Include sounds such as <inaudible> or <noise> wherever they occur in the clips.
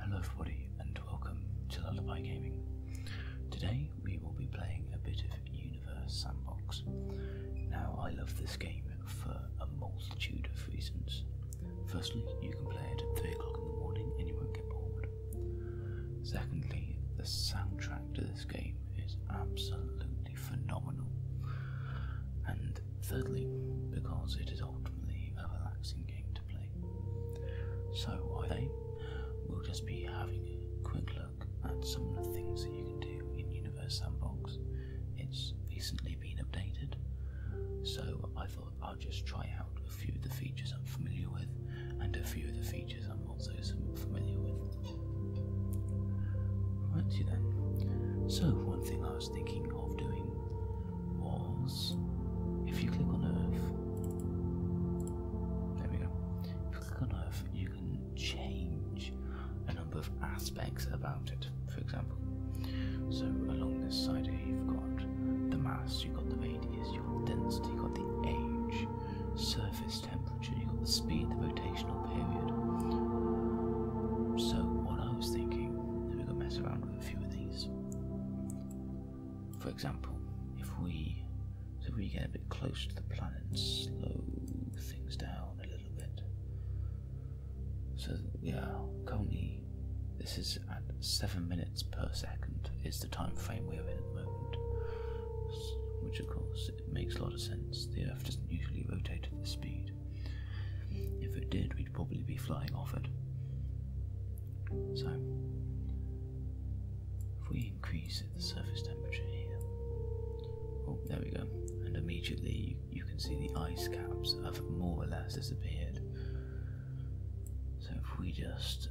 Hello everybody and welcome to Lullaby Gaming. Today we will be playing a bit of Universe Sandbox. Now I love this game for a multitude of reasons. Firstly, you can play it at 3 o'clock in the morning and you won't get bored. Secondly, the soundtrack to this game is absolutely phenomenal. And thirdly, because it is ultimately a relaxing game to play. So I think we'll just be having a quick look at some of the things that you can do in Universe Sandbox. It's recently been updated, so I thought I'll just try out a few of the features I'm familiar with and a few of the features I'm animals, those then. So, one thing I was thinking of doing was if you click on Earth, there we go. you click on Earth, you can change a number of aspects about it, for example. So, along this side here, you've got the mass, you've got the radius, your density, you've got the age, surface temperature, you've got the speed, the rotational period. So, what I was thinking, that we could mess around with a few of these. For example, if we, if we get a bit close to the planet, slow things down a little bit. So, yeah, currently this is at 7 minutes per second is the time frame we're in at the moment, which of course it makes a lot of sense. The Earth doesn't usually rotate at this speed. If it did, we'd probably be flying off it. So, if we increase the surface temperature here, oh, there we go, and immediately you can see the ice caps have more or less disappeared. So, if we just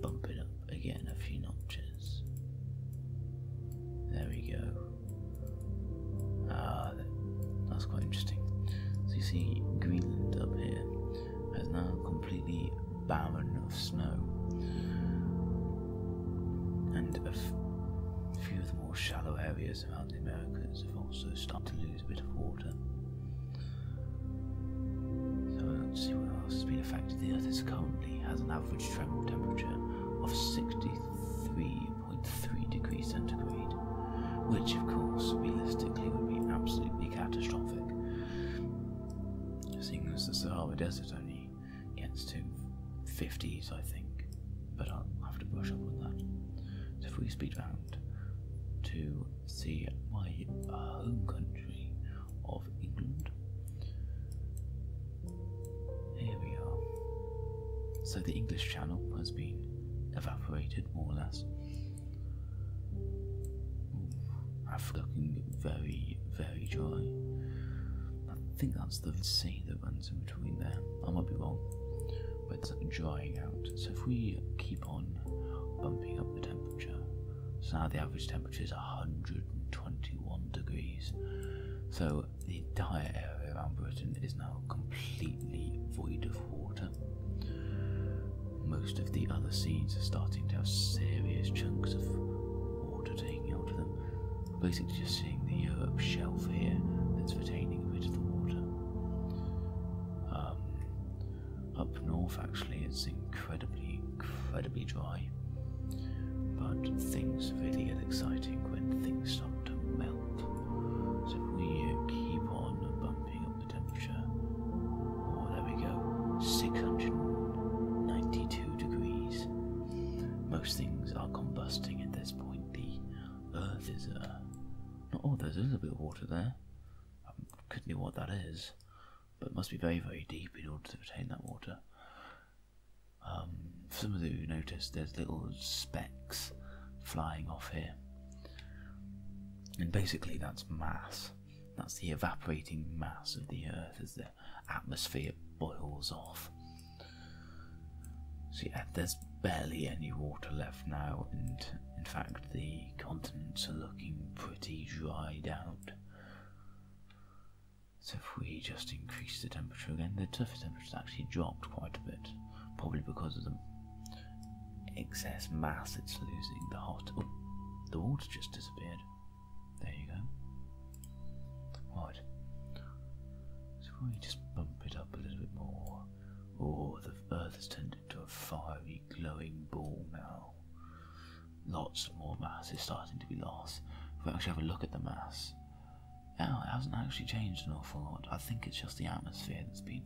bump it up again a few notches. There we go. Ah, that's quite interesting. So you see, Greenland up here has now completely barren of snow, and a few of the more shallow areas around the Americas have also started to lose a bit of water. So I don't see what else has been affected. The Earth is cold has an average temperature of 63.3 degrees centigrade, which, of course, realistically would be absolutely catastrophic, seeing as the Sahara Desert only gets to 50s, I think, but I'll have to brush up on that. So, if we speed round to see my home country of England. Here we are. So the English Channel has been evaporated, more or less. I'm looking very, very dry. I think that's the sea that runs in between there. I might be wrong, but it's drying out. So if we keep on bumping up the temperature, so now the average temperature which is 121 degrees. So the entire area around Britain is now completely void of water. Most of the other seas are starting to have serious chunks of water taking out of them. Basically, just seeing the Europe shelf here that's retaining a bit of the water. Um, up north, actually, it's incredibly, incredibly dry. But things really get exciting when things start to melt. So if we uh, keep on bumping up the temperature, oh, there we go, 692 degrees. Most things are combusting at this point. The Earth is a. Uh, oh, there's a little bit of water there. I couldn't know what that is but must be very, very deep in order to retain that water. Um, some of you noticed there's little specks flying off here. And basically that's mass. That's the evaporating mass of the Earth as the atmosphere boils off. So yeah, there's barely any water left now, and in fact the continents are looking pretty dried out. So if we just increase the temperature again, the surface temperature actually dropped quite a bit, probably because of the excess mass it's losing. The hot, oh, the water just disappeared. There you go. Right. So if we just bump it up a little bit more. Oh, the Earth is turning. To a fiery, glowing ball now. Lots more mass is starting to be lost. If we actually have a look at the mass, now it hasn't actually changed an awful lot. I think it's just the atmosphere that's been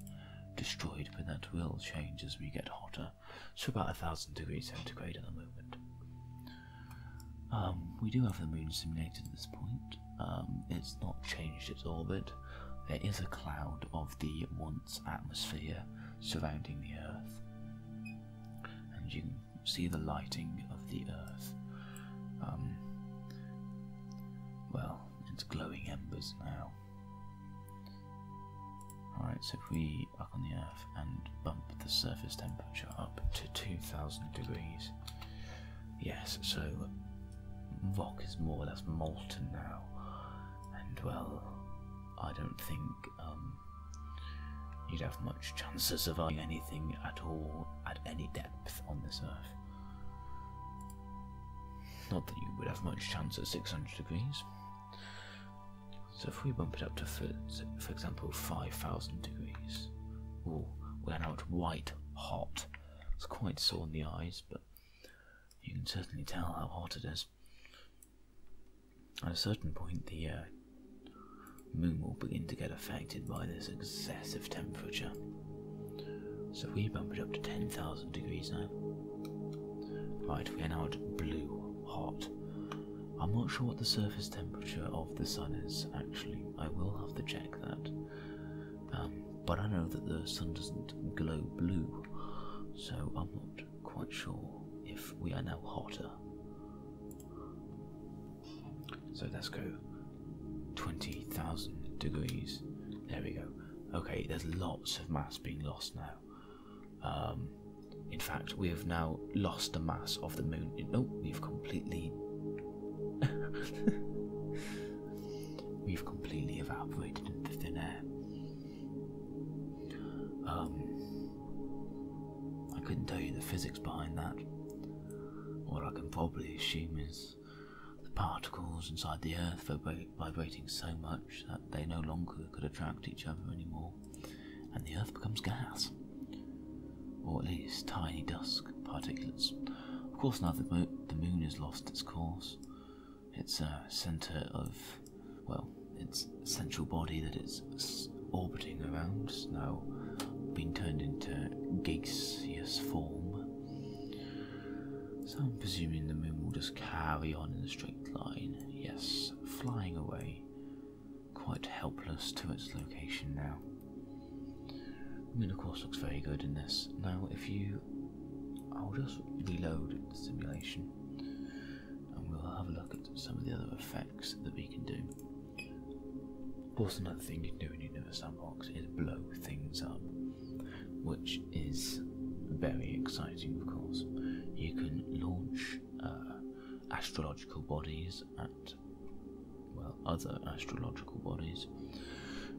destroyed, but that will change as we get hotter. So about a thousand degrees centigrade at the moment. Um, we do have the moon simulated at this point. Um, it's not changed its orbit. There is a cloud of the once atmosphere surrounding the earth. And you can see the lighting of the earth. Um, well, it's glowing embers now. Alright, so if we up on the earth and bump the surface temperature up to 2000 degrees, yes, so rock is more or less molten now and well, I don't think um, you'd have much chances of finding anything at all at any depth on this earth. Not that you would have much chance at 600 degrees. So if we bump it up to, for, example, 5,000 degrees, ooh, we're now white hot. It's quite sore in the eyes, but you can certainly tell how hot it is. At a certain point, the uh, moon will begin to get affected by this excessive temperature. So we bump it up to 10,000 degrees now. Right, we are now at blue hot. I'm not sure what the surface temperature of the sun is, actually. I will have to check that. Um, but I know that the sun doesn't glow blue, so I'm not quite sure if we are now hotter. So let's go 20,000 degrees. There we go. Okay, there's lots of mass being lost now. Um, in fact, we have now lost the mass of the moon. No, oh, we've completely. <laughs> <laughs> We've completely evaporated into thin air. Um, I couldn't tell you the physics behind that. What I can probably assume is the particles inside the Earth vibrating so much that they no longer could attract each other anymore, and the Earth becomes gas. Or at least tiny dust particulates. Of course, now that the moon has lost its course, its a center of, well, its central body that it's orbiting around now been turned into gaseous form. So I'm presuming the moon will just carry on in a straight line, yes, flying away, quite helpless to its location now. I mean, of course, looks very good in this. Now, if you, I'll just reload the simulation, and we'll have a look at some of the other effects that we can do. Of course, another thing you can do in Universe Sandbox is blow things up, which is very exciting, of course. You can launch uh, astrological bodies at well, other astrological biological bodies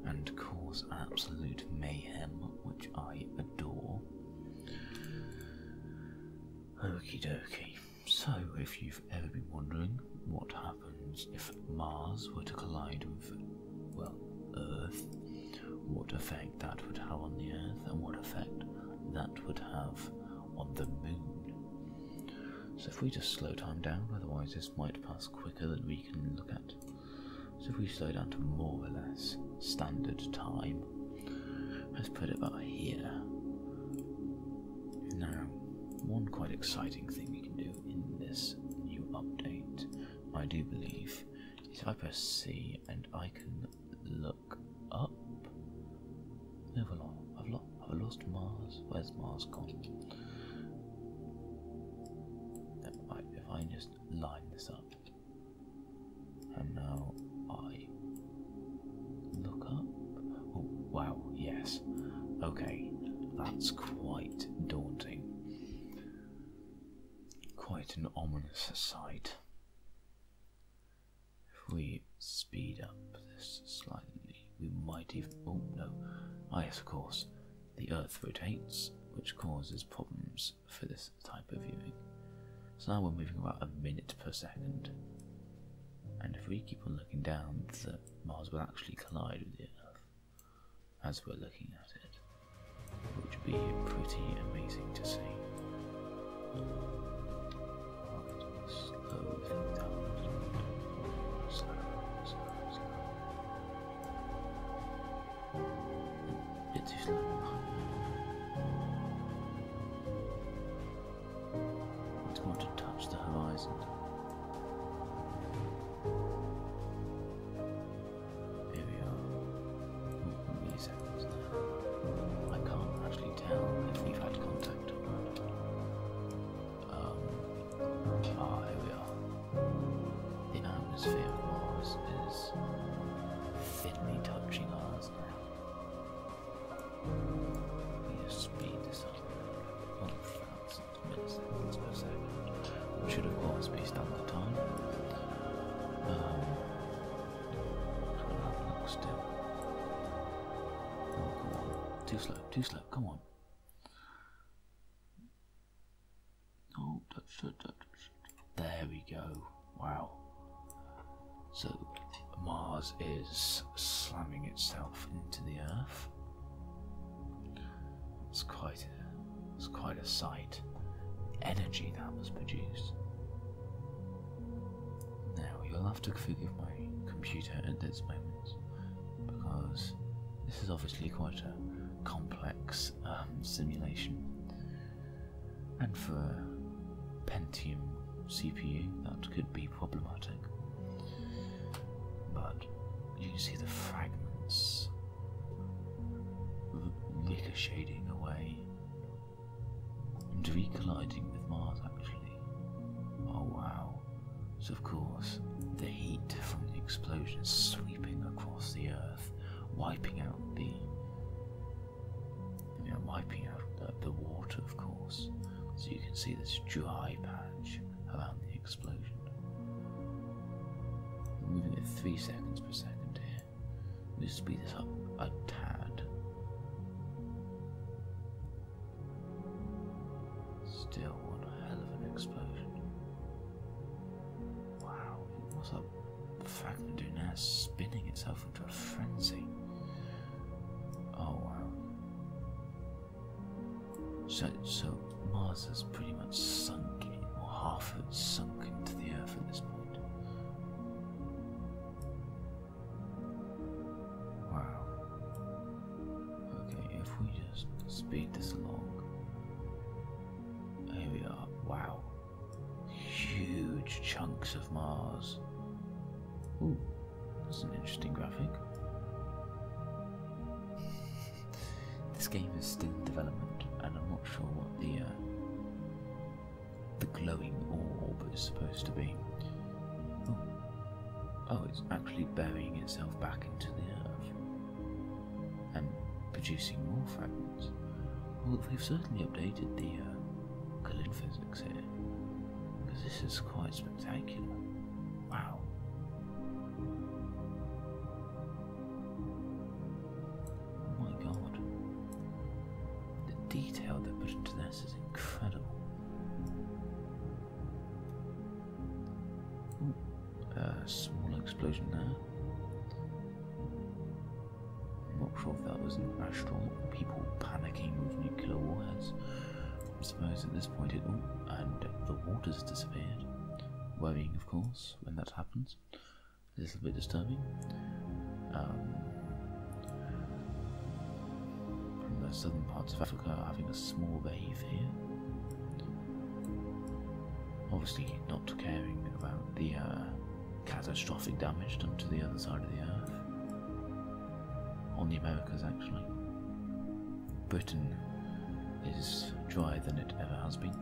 and cause absolute mayhem, which I adore. Okie dokey So, if you've ever been wondering what happens if Mars were to collide with, well, Earth, what effect that would have on the Earth, and what effect that would have on the Moon. So, if we just slow time down, otherwise, this might pass quicker than we can look at so if we slow down to more or less standard time, let's put it about here. Now, one quite exciting thing we can do in this new update, I do believe, is if I press C and I can look up. Move along. I've lost Mars. Where's Mars gone? if I just line this up. And now I look up. Oh, wow, yes. Okay, that's quite daunting. Quite an ominous sight. If we speed up this slightly we might even. Oh no! Ah, yes, of course. The Earth rotates, which causes problems for this type of viewing. So now we're moving about a minute per second. And if we keep on looking down, Mars will actually collide with the Earth as we're looking at it, which would be pretty amazing to see. It's more to touch the horizon. Here we are. Many seconds I can't actually tell if we've had contact or not. Um, oh, here we are. The atmosphere of Mars is thinly touching ours now. We have speed this up 1,000 milliseconds per second, which should, have course, be standard time. Um, oh, come on. Too slow, too slow, come on. Oh, there we go. Wow. So Mars is slamming itself into the Earth. It's quite, it's quite a sight. energy that was produced. Now you'll have to forgive my computer at this moment because this is obviously quite a complex um, simulation. And for Pentium CPU, that could be problematic. But you can see the fragments ricocheting away and recolliding with Mars actually. Oh wow. So of course, the heat from the explosion sweeping across the earth, wiping out the you know, wiping out the, water of course. So you can see this dry patch around the explosion. moving at three seconds per second here. We we'll speed this up a tad. Still, one hell of an explosion. Wow, it was a fragment of now spinning itself into a frenzy. Oh wow. So, so Mars has pretty much sunk, in, or half of it sunk into the Earth at this point. Wow. Okay, if we just speed this along. Here we are. Wow. Huge chunks of Mars. Ooh, that's an interesting graphic. <laughs> This game is still in development, and I'm not sure what the uh, the glowing orb is supposed to be. Oh. oh, it's actually burying itself back into the earth and producing more fragments. Well, they've certainly updated the uh, physics here, because this is quite spectacular. Wow. Oh my god. The detail they put into that. This is incredible. A uh, small explosion there. I'm not sure if that was an astronaut or people panicking with nuclear warheads. I suppose at this point it all and the waters disappeared. Worrying, of course, when that happens. A little bit disturbing. Um, from the southern parts of Africa are having a small wave here. Obviously, not caring about the uh, catastrophic damage done to the other side of the earth. On the Americas, actually. Britain is drier than it ever has been.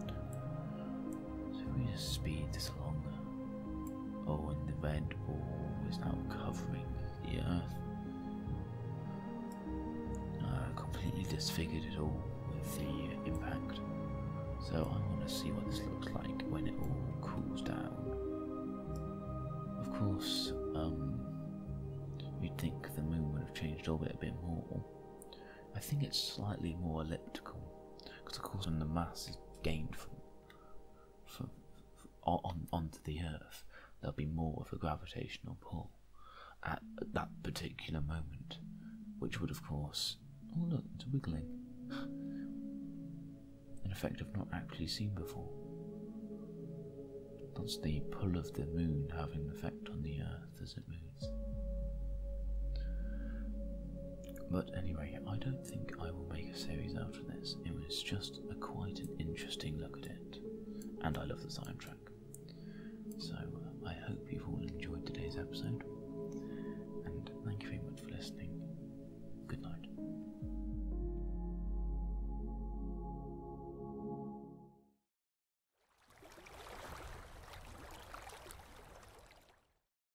So we just speed this along Oh, and the red ball is now covering the earth. Uh, completely disfigured it all with the impact. So I want to see what this looks like when it all cools down. Of course, um, you'd think the moon would have changed orbit a bit more. I think it's slightly more elliptical, because of course when the mass is gained from for, on, onto the Earth, there'll be more of a gravitational pull at, that particular moment, which would, of course, oh look, it's wiggling, an effect I've not actually seen before. That's the pull of the moon having effect on the Earth as it moves. But anyway, I don't think I will make a series out of this. It was just a quite an interesting look at it, and I love the soundtrack. So uh, I hope you've all enjoyed today's episode, and thank you very much for listening. Good night.